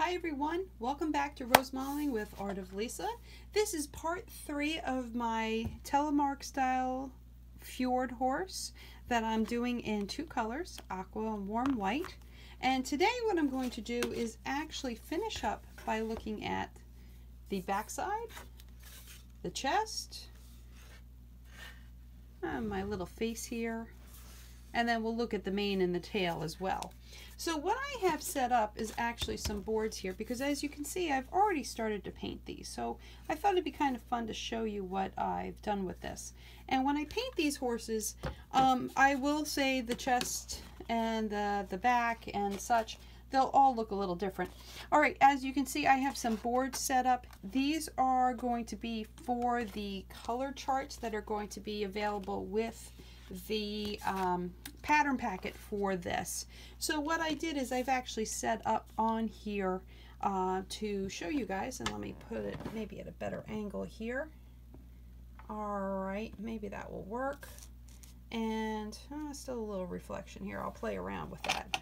Hi everyone, welcome back to Rose Modeling with Art of Lisa. This is part three of my telemark style fjord horse that I'm doing in two colors, aqua and warm white. And today what I'm going to do is actually finish up by looking at the backside, the chest, uh, my little face here, and then we'll look at the mane and the tail as well. So what I have set up is actually some boards here because as you can see, I've already started to paint these. So I thought it'd be kind of fun to show you what I've done with this. And when I paint these horses, um, I will say the chest and the, the back and such, they'll all look a little different. All right, as you can see, I have some boards set up. These are going to be for the color charts that are going to be available with the um, pattern packet for this. So what I did is I've actually set up on here uh, to show you guys, and let me put it maybe at a better angle here. All right, maybe that will work. And uh, still a little reflection here. I'll play around with that.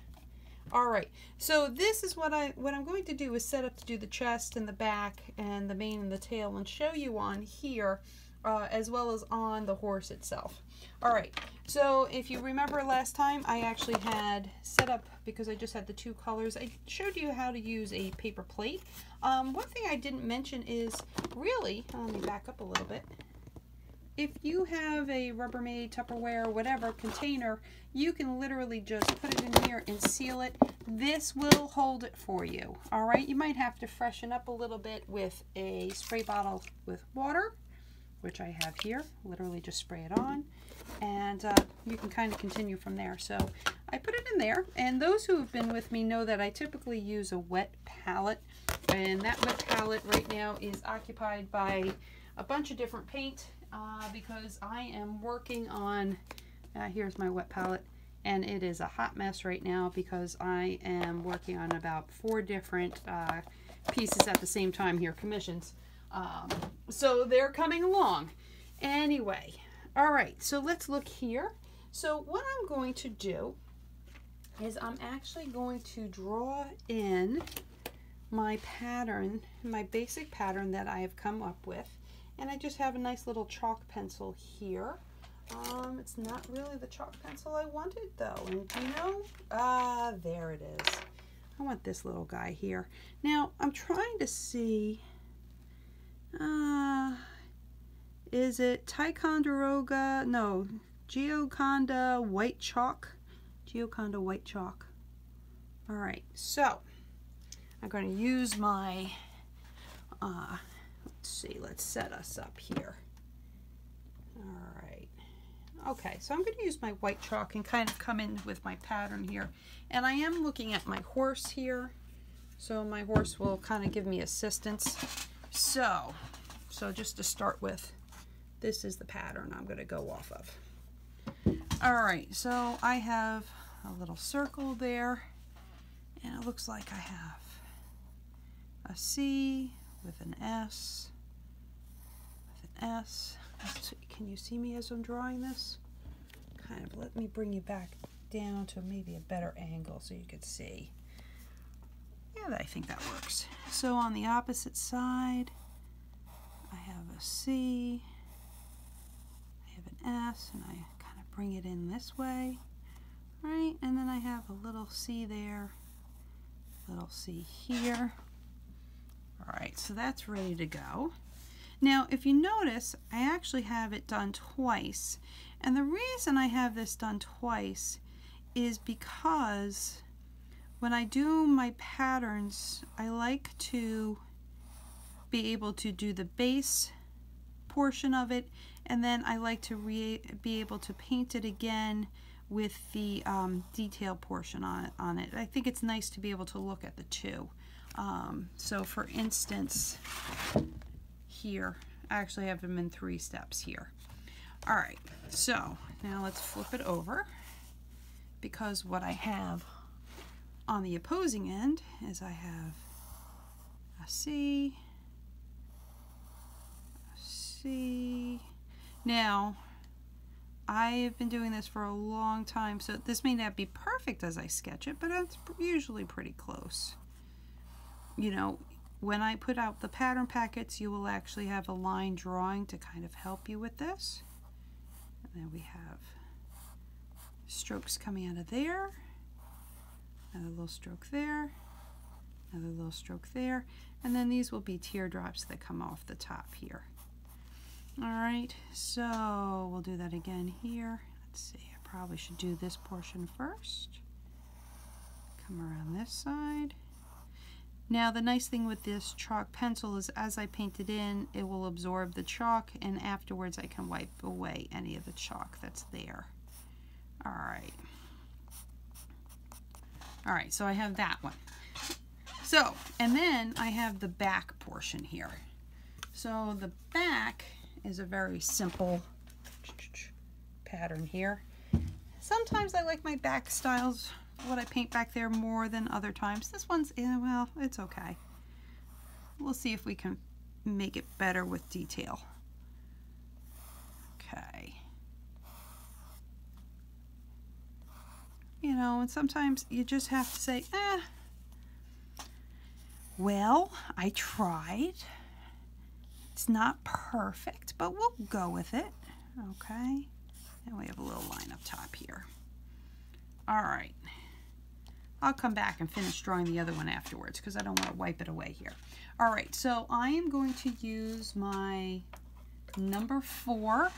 All right, so this is what I what I'm going to do is set up to do the chest and the back and the mane and the tail and show you on here uh, as well as on the horse itself. All right, so if you remember last time, I actually had set up, because I just had the two colors, I showed you how to use a paper plate. Um, one thing I didn't mention is really, let me back up a little bit, if you have a Rubbermaid, Tupperware, whatever container, you can literally just put it in here and seal it. This will hold it for you. All right, you might have to freshen up a little bit with a spray bottle with water, which I have here. Literally just spray it on, and uh, you can kind of continue from there. So I put it in there, and those who have been with me know that I typically use a wet palette, and that wet palette right now is occupied by a bunch of different paint uh, because I am working on, uh, here's my wet palette, and it is a hot mess right now because I am working on about four different uh, pieces at the same time here, commissions. Um, so they're coming along. Anyway, all right, so let's look here. So what I'm going to do is I'm actually going to draw in my pattern, my basic pattern that I have come up with. And I just have a nice little chalk pencil here. Um, it's not really the chalk pencil I wanted though. And you know? Ah, there it is. I want this little guy here. Now, I'm trying to see, Ah, is it Ticonderoga? No, Geoconda White Chalk. Geoconda White Chalk. All right, so I'm going to use my, uh, let's see, let's set us up here. All right. Okay, so I'm going to use my white chalk and kind of come in with my pattern here. And I am looking at my horse here. So my horse will kind of give me assistance. So, so just to start with, this is the pattern I'm going to go off of. All right, so I have a little circle there. And it looks like I have a C with an S, with an S. Can you see me as I'm drawing this? Kind of let me bring you back down to maybe a better angle so you can see. Yeah, I think that works. So on the opposite side, I have a C, I have an S, and I kind of bring it in this way, right? And then I have a little C there, little C here. All right, so that's ready to go. Now, if you notice, I actually have it done twice. And the reason I have this done twice is because when I do my patterns, I like to be able to do the base portion of it and then I like to be able to paint it again with the um, detail portion on it, on it. I think it's nice to be able to look at the two. Um, so for instance, here, I actually have them in three steps here. All right, so now let's flip it over because what I have on the opposing end is I have I see. see. Now, I've been doing this for a long time, so this may not be perfect as I sketch it, but it's usually pretty close. You know, when I put out the pattern packets, you will actually have a line drawing to kind of help you with this. And then we have strokes coming out of there another little stroke there, another little stroke there, and then these will be teardrops that come off the top here. All right, so we'll do that again here. Let's see, I probably should do this portion first. Come around this side. Now the nice thing with this chalk pencil is as I paint it in, it will absorb the chalk and afterwards I can wipe away any of the chalk that's there. All right. All right, so I have that one. So, and then I have the back portion here. So the back is a very simple pattern here. Sometimes I like my back styles, what I paint back there more than other times. This one's, eh, well, it's okay. We'll see if we can make it better with detail. Okay. You know, and sometimes you just have to say, eh. well, I tried. It's not perfect, but we'll go with it. Okay. And we have a little line up top here. All right. I'll come back and finish drawing the other one afterwards because I don't want to wipe it away here. All right, so I am going to use my number four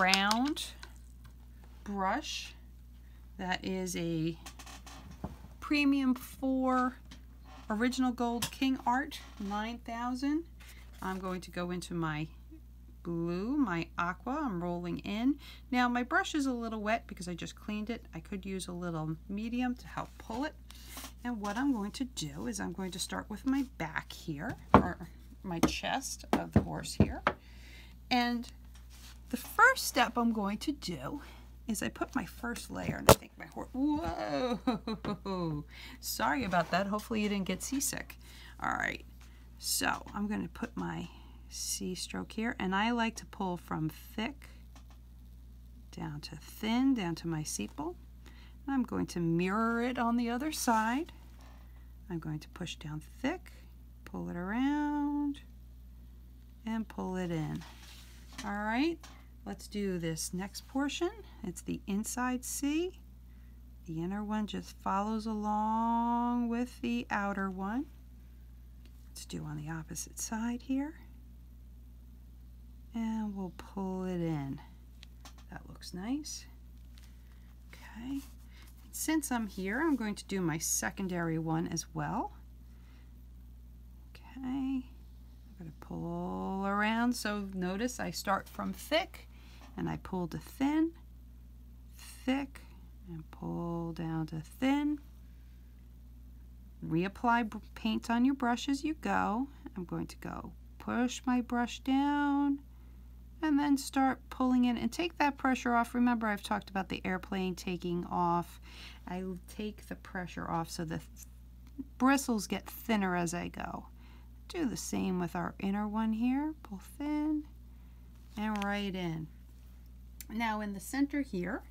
round brush. That is a Premium 4 Original Gold King Art 9000. I'm going to go into my blue, my aqua, I'm rolling in, now my brush is a little wet because I just cleaned it. I could use a little medium to help pull it. And what I'm going to do is I'm going to start with my back here, or my chest of the horse here. And the first step I'm going to do is I put my first layer and I think my horse, whoa, sorry about that. Hopefully you didn't get seasick. All right, so I'm gonna put my C stroke here and I like to pull from thick down to thin, down to my sepal. I'm going to mirror it on the other side. I'm going to push down thick, pull it around, and pull it in. All right, let's do this next portion. It's the inside C. The inner one just follows along with the outer one. Let's do on the opposite side here. And we'll pull it in. That looks nice. Okay. since I'm here, I'm going to do my secondary one as well. Okay. I'm going to pull around. So notice I start from thick and I pull to thin, thick, and pull down to thin, reapply paint on your brush as you go. I'm going to go push my brush down and then start pulling in and take that pressure off. Remember I've talked about the airplane taking off. I take the pressure off so the bristles get thinner as I go. Do the same with our inner one here. Pull thin and right in. Now in the center here,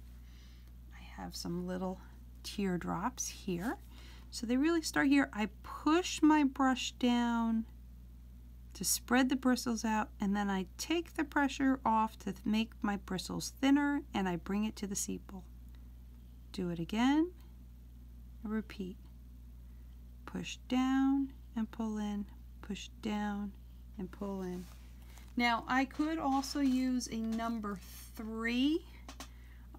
I have some little teardrops here. So they really start here. I push my brush down to spread the bristles out and then I take the pressure off to make my bristles thinner and I bring it to the sepal. Do it again, repeat. Push down and pull in, push down and pull in. Now I could also use a number three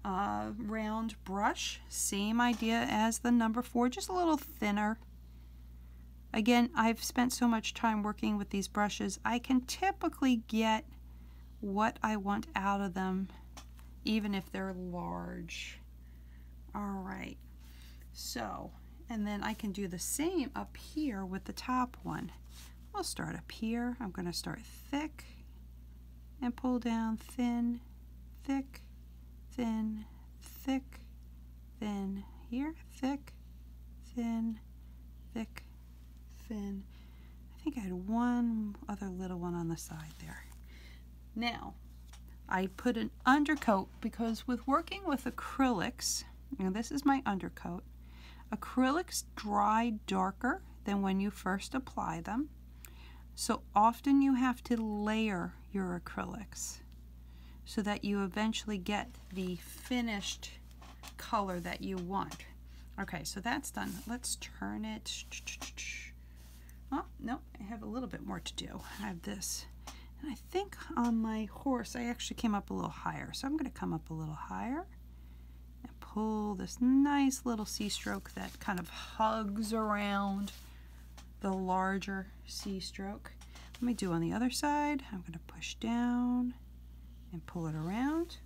uh, round brush. Same idea as the number four, just a little thinner. Again, I've spent so much time working with these brushes, I can typically get what I want out of them, even if they're large. All right, so, and then I can do the same up here with the top one. I'll start up here. I'm going to start thick and pull down thin, thick, thin, thick, thin here, thick, thin, thick, thin. I think I had one other little one on the side there. Now, I put an undercoat because with working with acrylics, now this is my undercoat. Acrylics dry darker than when you first apply them. So often you have to layer your acrylics so that you eventually get the finished color that you want. Okay, so that's done. Let's turn it. Oh, no, I have a little bit more to do. I have this. And I think on my course, I actually came up a little higher. So I'm going to come up a little higher and pull this nice little C stroke that kind of hugs around the larger C stroke. Let me do on the other side. I'm going to push down and pull it around.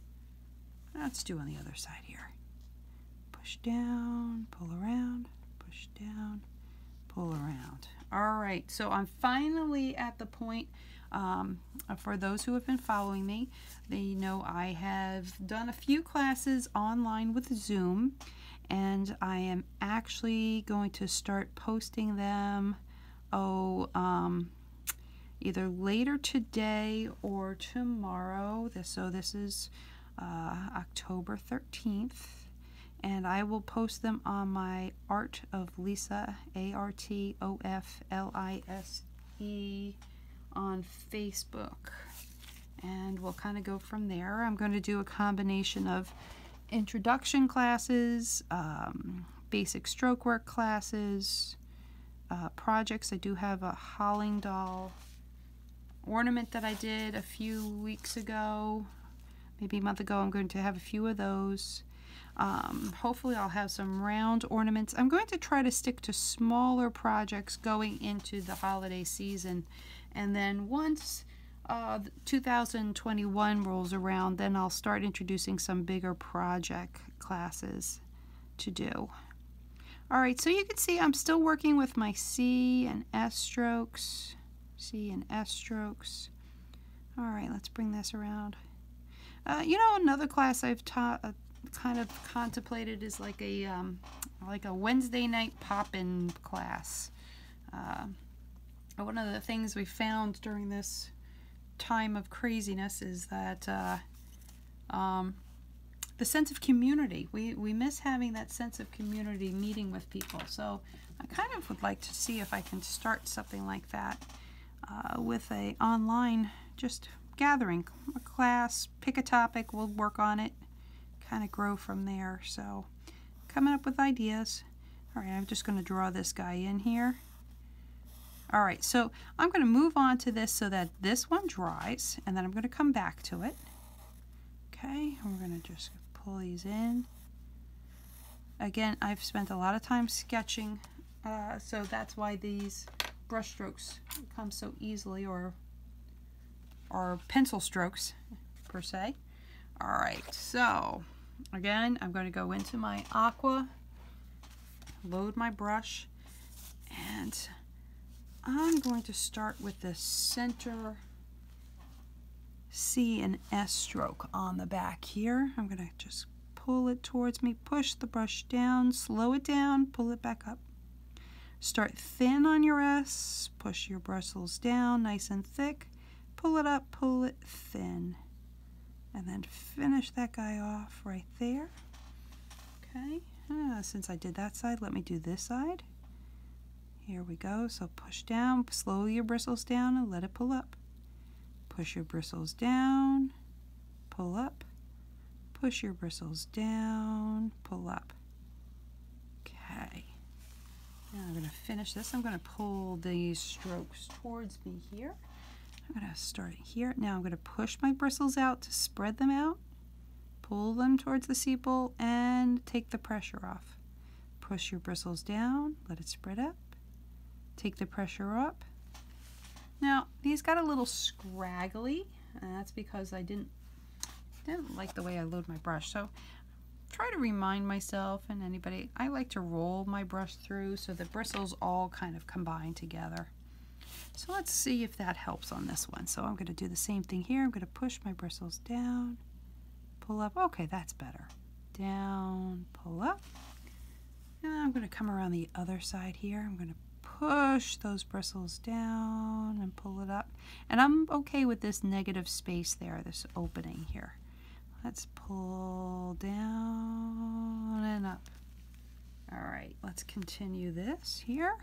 Let's do on the other side here. Push down, pull around, push down, pull around. All right, so I'm finally at the point um, uh, for those who have been following me, they know I have done a few classes online with Zoom, and I am actually going to start posting them, oh, um, either later today or tomorrow. This, so this is uh, October 13th, and I will post them on my Art of Lisa, A R T O F L I S E, on Facebook. And we'll kind of go from there. I'm going to do a combination of introduction classes, um, basic stroke work classes, uh, projects. I do have a Holling doll ornament that I did a few weeks ago, maybe a month ago. I'm going to have a few of those. Um, hopefully I'll have some round ornaments. I'm going to try to stick to smaller projects going into the holiday season. And then once uh, 2021 rolls around, then I'll start introducing some bigger project classes to do. All right, so you can see I'm still working with my C and S strokes, C and S strokes. All right, let's bring this around. Uh, you know, another class I've taught, uh, kind of contemplated is like a um, like a Wednesday night pop-in class. Uh, one of the things we found during this time of craziness is that um, the sense of community. We, we miss having that sense of community meeting with people. So I kind of would like to see if I can start something like that. Uh, with a online just gathering, a class, pick a topic, we'll work on it, kind of grow from there. So coming up with ideas. All right, I'm just going to draw this guy in here. All right, so I'm going to move on to this so that this one dries, and then I'm going to come back to it. Okay, we're going to just pull these in. Again, I've spent a lot of time sketching uh, so that's why these brush strokes come so easily or or pencil strokes per se. All right, so again, I'm going to go into my aqua, load my brush, and I'm going to start with the center C and S stroke on the back here. I'm going to just pull it towards me, push the brush down, slow it down, pull it back up. Start thin on your S, push your bristles down nice and thick, pull it up, pull it thin. And then finish that guy off right there. Okay, ah, since I did that side, let me do this side. Here we go, so push down, slow your bristles down and let it pull up. Push your bristles down, pull up, push your bristles down, pull up. Okay. Now I'm going to finish this. I'm going to pull these strokes towards me here. I'm going to start here. Now I'm going to push my bristles out to spread them out, pull them towards the sepal, and take the pressure off. Push your bristles down, let it spread up, Take the pressure up. Now, these got a little scraggly, and that's because I didn't, didn't like the way I load my brush. So try to remind myself and anybody, I like to roll my brush through so the bristles all kind of combine together. So let's see if that helps on this one. So I'm going to do the same thing here. I'm going to push my bristles down, pull up. Okay, that's better. Down, pull up. I'm going to come around the other side here. I'm going to push those bristles down and pull it up. And I'm okay with this negative space there, this opening here. Let's pull down and up. All right, let's continue this here.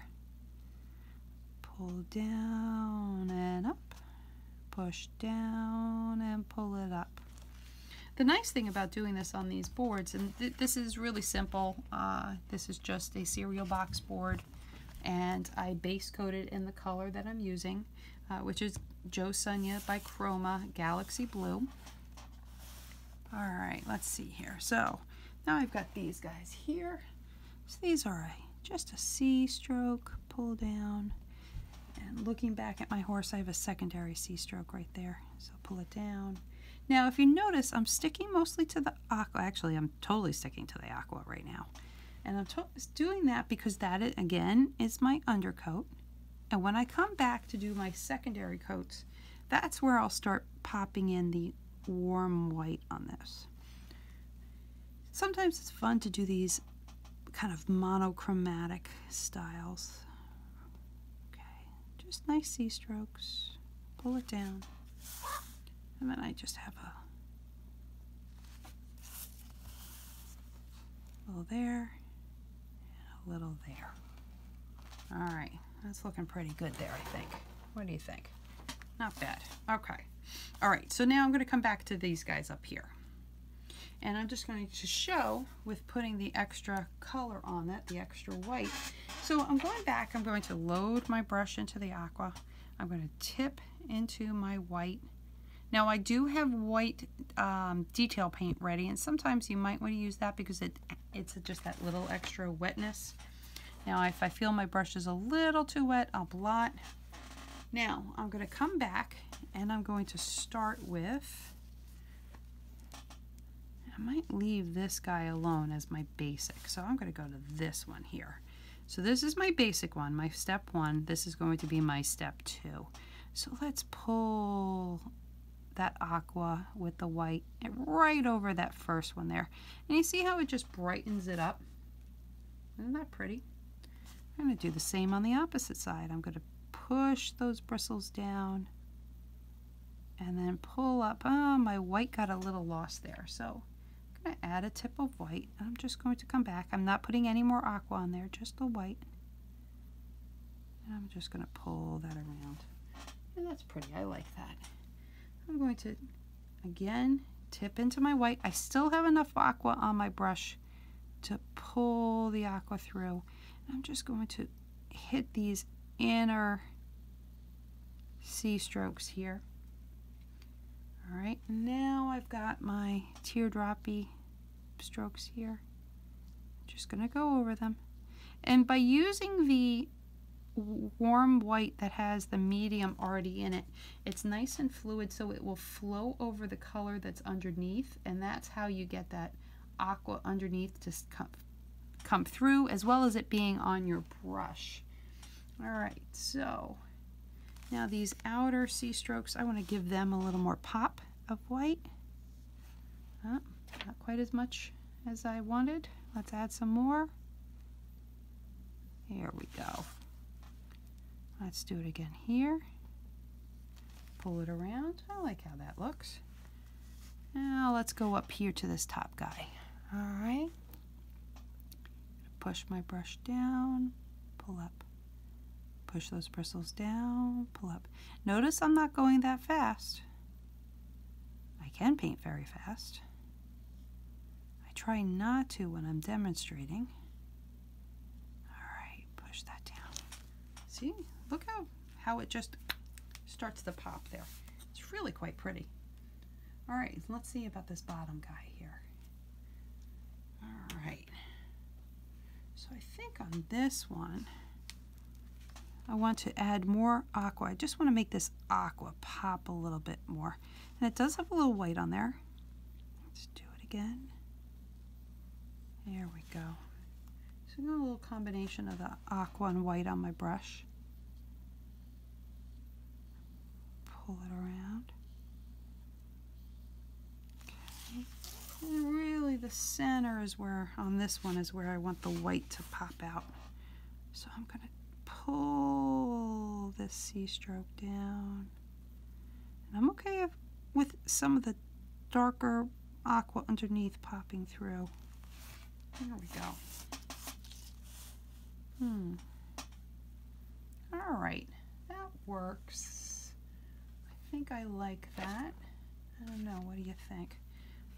Pull down and up. Push down and pull it up. The nice thing about doing this on these boards, and this is really simple, uh, this is just a cereal box board and I base coated in the color that I'm using, uh, which is Joe Sunya by Chroma Galaxy Blue. All right, let's see here. So now I've got these guys here. So these are just a C stroke, pull down, and looking back at my horse, I have a secondary C stroke right there pull it down. Now, if you notice, I'm sticking mostly to the aqua. Actually, I'm totally sticking to the aqua right now. And I'm doing that because that again, is my undercoat. And when I come back to do my secondary coats, that's where I'll start popping in the warm white on this. Sometimes it's fun to do these kind of monochromatic styles. Okay just nice C strokes. Pull it down. And then I just have a little there and a little there. All right, that's looking pretty good there, I think. What do you think? Not bad. Okay. All right, so now I'm going to come back to these guys up here. And I'm just going to show with putting the extra color on it, the extra white. So I'm going back, I'm going to load my brush into the aqua. I'm going to tip into my white. Now I do have white um, detail paint ready and sometimes you might want to use that because it it's just that little extra wetness. Now if I feel my brush is a little too wet, I'll blot. Now I'm going to come back and I'm going to start with I might leave this guy alone as my basic. So I'm going to go to this one here. So this is my basic one, my step one. This is going to be my step two. So let's pull that aqua with the white right over that first one there. And you see how it just brightens it up? Isn't that pretty? I'm going to do the same on the opposite side. I'm going to push those bristles down and then pull up. Oh, my white got a little lost there. So I'm going to add a tip of white. I'm just going to come back. I'm not putting any more aqua on there, just the white. I'm just going to pull that around. that's pretty. I like that. I'm going to, again, tip into my white. I still have enough aqua on my brush to pull the aqua through. I'm just going to hit these inner C strokes here. All right, now I've got my teardroppy strokes here. Just gonna go over them. And by using the warm white that has the medium already in it, it's nice and fluid so it will flow over the color that's underneath and that's how you get that aqua underneath to come come through as well as it being on your brush. All right, so now these outer C strokes, I want to give them a little more pop of white. Uh, not quite as much as I wanted. Let's add some more. Here we go. Let's do it again here. Pull it around. I like how that looks. Now let's go up here to this top guy. All right. Push my brush down, pull up. Push those bristles down, pull up. Notice I'm not going that fast. I can paint very fast. I try not to when I'm demonstrating. All right, push that down. See, look how how it just starts to pop there. It's really quite pretty. All right, let's see about this bottom guy here. All right. So I think on this one, I want to add more aqua. I just want to make this aqua pop a little bit more. And it does have a little white on there. Let's do it again. There we go. So I am got a little combination of the aqua and white on my brush. Pull it around. Okay. really the center is where, on this one, is where I want the white to pop out. So I'm going to pull this C stroke down. And I'm okay with some of the darker aqua underneath popping through. There we go. Hmm. All right, that works. I think I like that. I don't know, what do you think?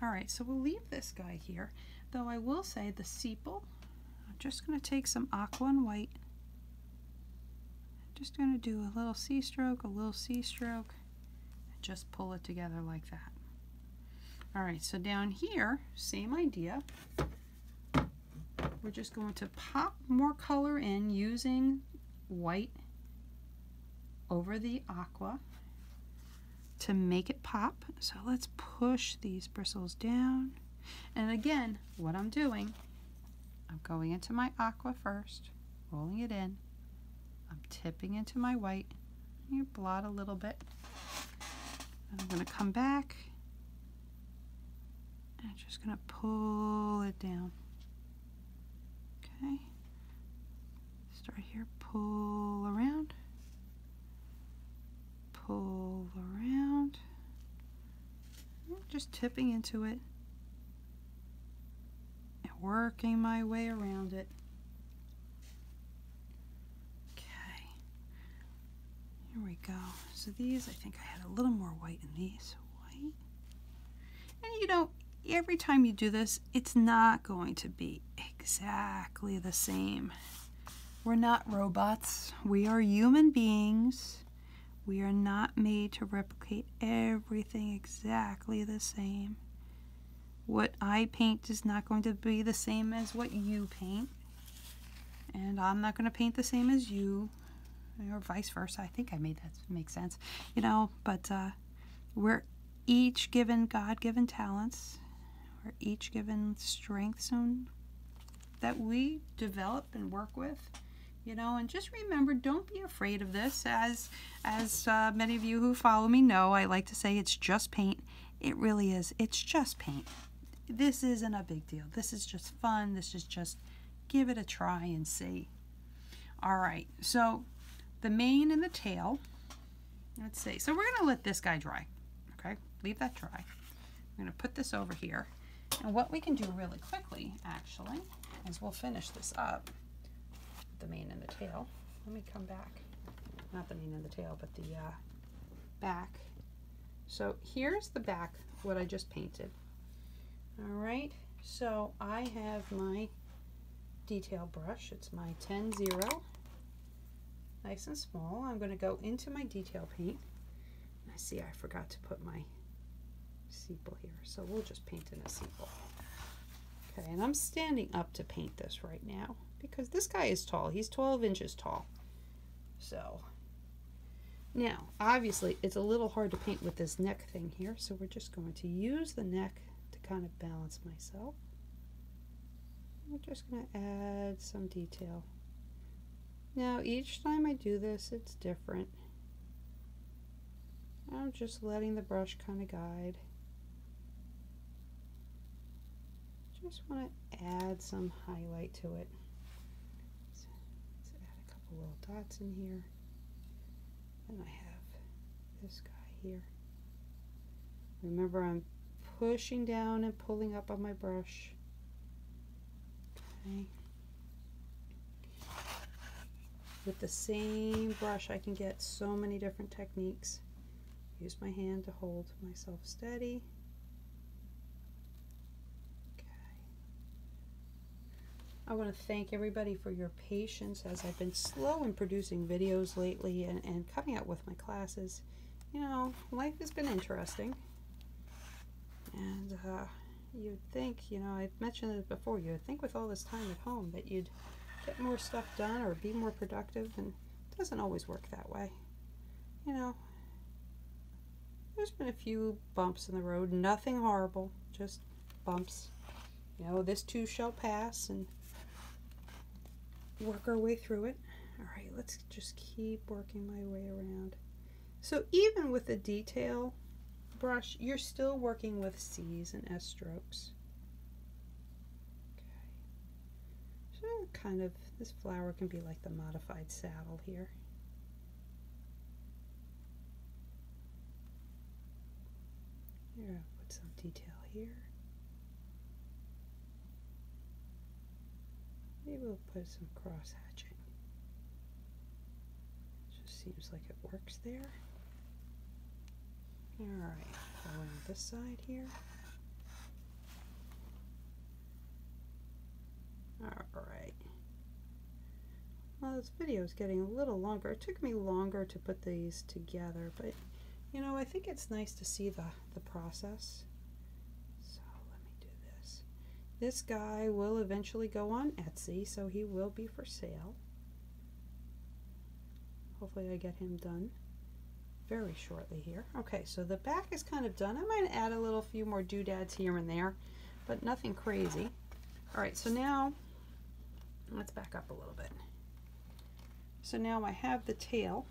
All right, so we'll leave this guy here, though I will say the sepal, I'm just gonna take some aqua and white, just gonna do a little C stroke, a little C stroke, just pull it together like that. All right, so down here, same idea. We're just going to pop more color in using white over the aqua to make it pop. So let's push these bristles down. And again, what I'm doing, I'm going into my aqua first, rolling it in, I'm tipping into my white. You blot a little bit. I'm going to come back and I'm just going to pull it down. Okay. Start here, pull around, pull around, just tipping into it and working my way around it. Okay, here we go. So these, I think I had a little more white in these. White. And you know, every time you do this, it's not going to be exactly the same. We're not robots. We are human beings. We are not made to replicate everything exactly the same what I paint is not going to be the same as what you paint. And I'm not going to paint the same as you, or vice versa. I think I made that make sense, you know. But uh, we're each given God given talents, we're each given strengths and that we develop and work with, you know. And just remember, don't be afraid of this as as uh, many of you who follow me know, I like to say it's just paint. It really is. It's just paint. This isn't a big deal. This is just fun. This is just give it a try and see. All right, so the mane and the tail. Let's see. So we're going to let this guy dry. Okay, leave that dry. I'm going to put this over here. And what we can do really quickly, actually, is we'll finish this up the mane and the tail. Let me come back. Not the mane and the tail, but the uh, back. So here's the back, what I just painted. All right, so I have my detail brush. It's my 10-0, nice and small. I'm gonna go into my detail paint. I see I forgot to put my sepal here, so we'll just paint in a sepal. Okay, and I'm standing up to paint this right now because this guy is tall. He's 12 inches tall. So, now, obviously, it's a little hard to paint with this neck thing here, so we're just going to use the neck to kind of balance myself. I'm just going to add some detail. Now, each time I do this, it's different. I'm just letting the brush kind of guide. Just want to add some highlight to it. add a couple little dots in here. Then I have this guy here. Remember I'm pushing down and pulling up on my brush. Okay. With the same brush I can get so many different techniques. Use my hand to hold myself steady. Okay. I want to thank everybody for your patience as I've been slow in producing videos lately and, and coming out with my classes. You know, life has been interesting. And uh, you'd think, you know, I've mentioned it before, you'd think with all this time at home that you'd get more stuff done or be more productive, and it doesn't always work that way. You know, there's been a few bumps in the road, nothing horrible, just bumps. You know, this too shall pass and work our way through it. All right, let's just keep working my way around. So even with the detail brush, you're still working with C's and S strokes. So kind of, this flower can be like the modified saddle here. Here, I'll put some detail here. Maybe we'll put some cross hatching. just seems like it works there. All right, going this side here. All right. Well, this video is getting a little longer. It took me longer to put these together, but you know, I think it's nice to see the, the process. So let me do this. This guy will eventually go on Etsy, so he will be for sale. Hopefully I get him done very shortly here. Okay, so the back is kind of done. I might add a little few more doodads here and there, but nothing crazy. All right, so now let's back up a little bit. So now I have the tail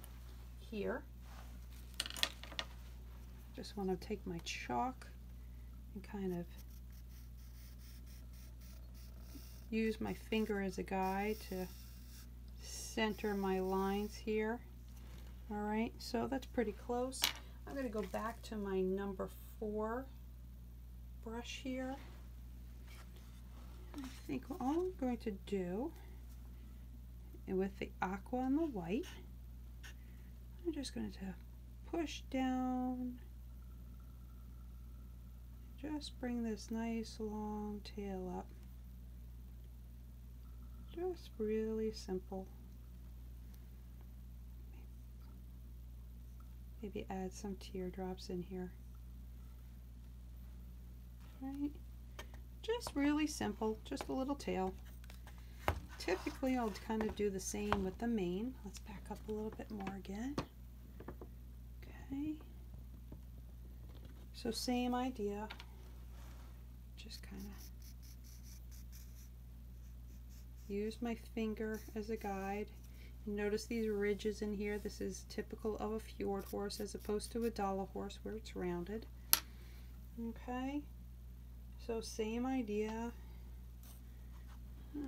here. Just want to take my chalk and kind of use my finger as a guide to center my lines here. All right, so that's pretty close. I'm going to go back to my number four brush here. I think all I'm going to do with the aqua and the white, I'm just going to push down just bring this nice long tail up just really simple maybe add some teardrops in here right just really simple just a little tail typically I'll kind of do the same with the mane let's back up a little bit more again Okay. So same idea, just kind of use my finger as a guide. notice these ridges in here. This is typical of a fjord horse as opposed to a dollar horse where it's rounded. Okay, so same idea. Uh,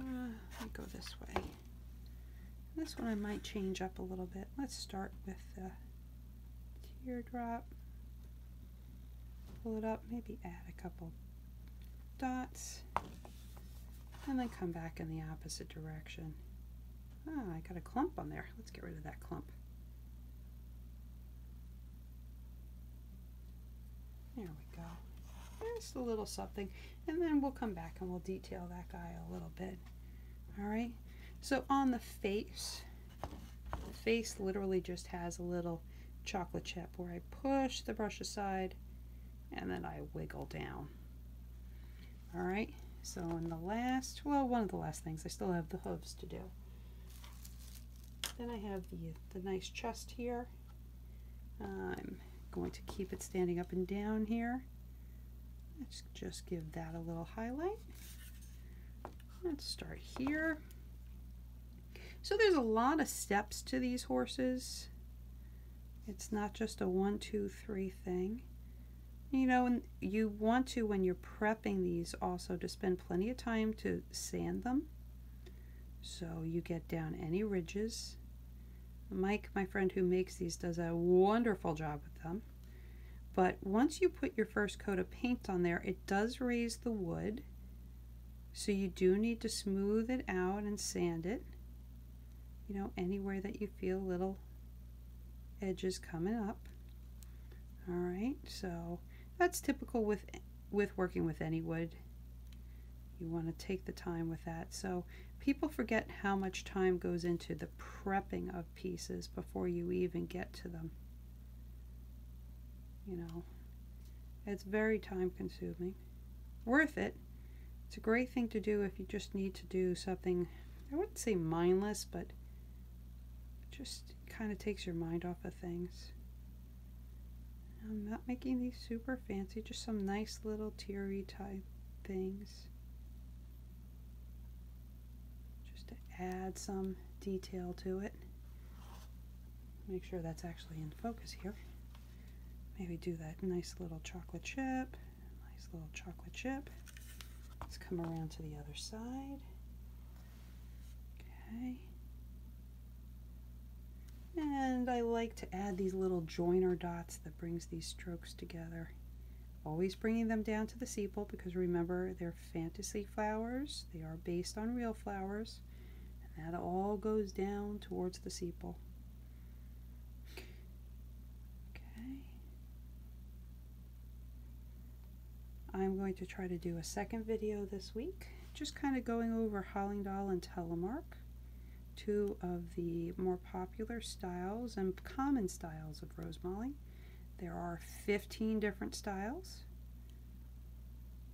let me go this way. This one I might change up a little bit. Let's start with the teardrop. Pull it up, maybe add a couple dots, and then come back in the opposite direction. Ah, I got a clump on there. Let's get rid of that clump. There we go. Just a little something. And then we'll come back and we'll detail that guy a little bit. All right, so on the face, the face literally just has a little chocolate chip where I push the brush aside and then I wiggle down. All right, so in the last, well, one of the last things, I still have the hooves to do. Then I have the, the nice chest here. I'm going to keep it standing up and down here. Let's just give that a little highlight. Let's start here. So there's a lot of steps to these horses. It's not just a one, two, three thing. You know, you want to, when you're prepping these, also to spend plenty of time to sand them. So you get down any ridges. Mike, my friend who makes these, does a wonderful job with them. But once you put your first coat of paint on there, it does raise the wood. So you do need to smooth it out and sand it. You know, anywhere that you feel little edges coming up. All right, so that's typical with, with working with any wood. You want to take the time with that. So people forget how much time goes into the prepping of pieces before you even get to them. You know, it's very time consuming. Worth it. It's a great thing to do if you just need to do something, I wouldn't say mindless, but just kind of takes your mind off of things. I'm not making these super fancy, just some nice little teary type things just to add some detail to it. Make sure that's actually in focus here. Maybe do that nice little chocolate chip, nice little chocolate chip. Let's come around to the other side. Okay. And I like to add these little joiner dots that brings these strokes together always bringing them down to the sepal because remember they're fantasy flowers they are based on real flowers and that all goes down towards the sepal okay I'm going to try to do a second video this week just kind of going over Hollingdahl and Telemark two of the more popular styles and common styles of rose molly. There are 15 different styles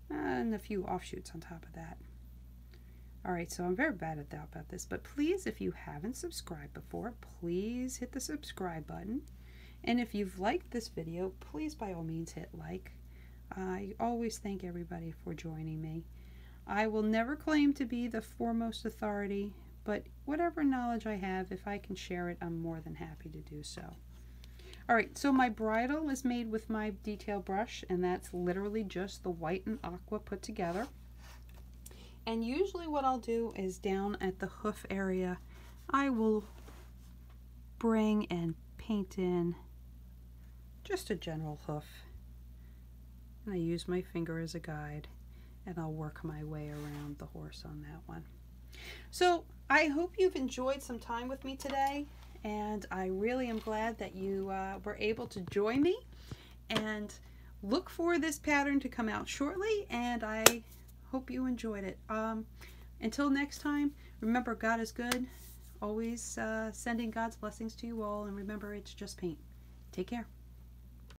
and a few offshoots on top of that. All right, so I'm very bad at that about this, but please, if you haven't subscribed before, please hit the subscribe button. And if you've liked this video, please by all means hit like. I always thank everybody for joining me. I will never claim to be the foremost authority but whatever knowledge I have, if I can share it, I'm more than happy to do so. All right, so my bridle is made with my detail brush, and that's literally just the white and aqua put together. And usually what I'll do is down at the hoof area, I will bring and paint in just a general hoof. And I use my finger as a guide and I'll work my way around the horse on that one. So I hope you've enjoyed some time with me today and I really am glad that you uh, were able to join me and look for this pattern to come out shortly and I hope you enjoyed it. Um, until next time, remember God is good, always uh, sending God's blessings to you all and remember it's just paint. Take care.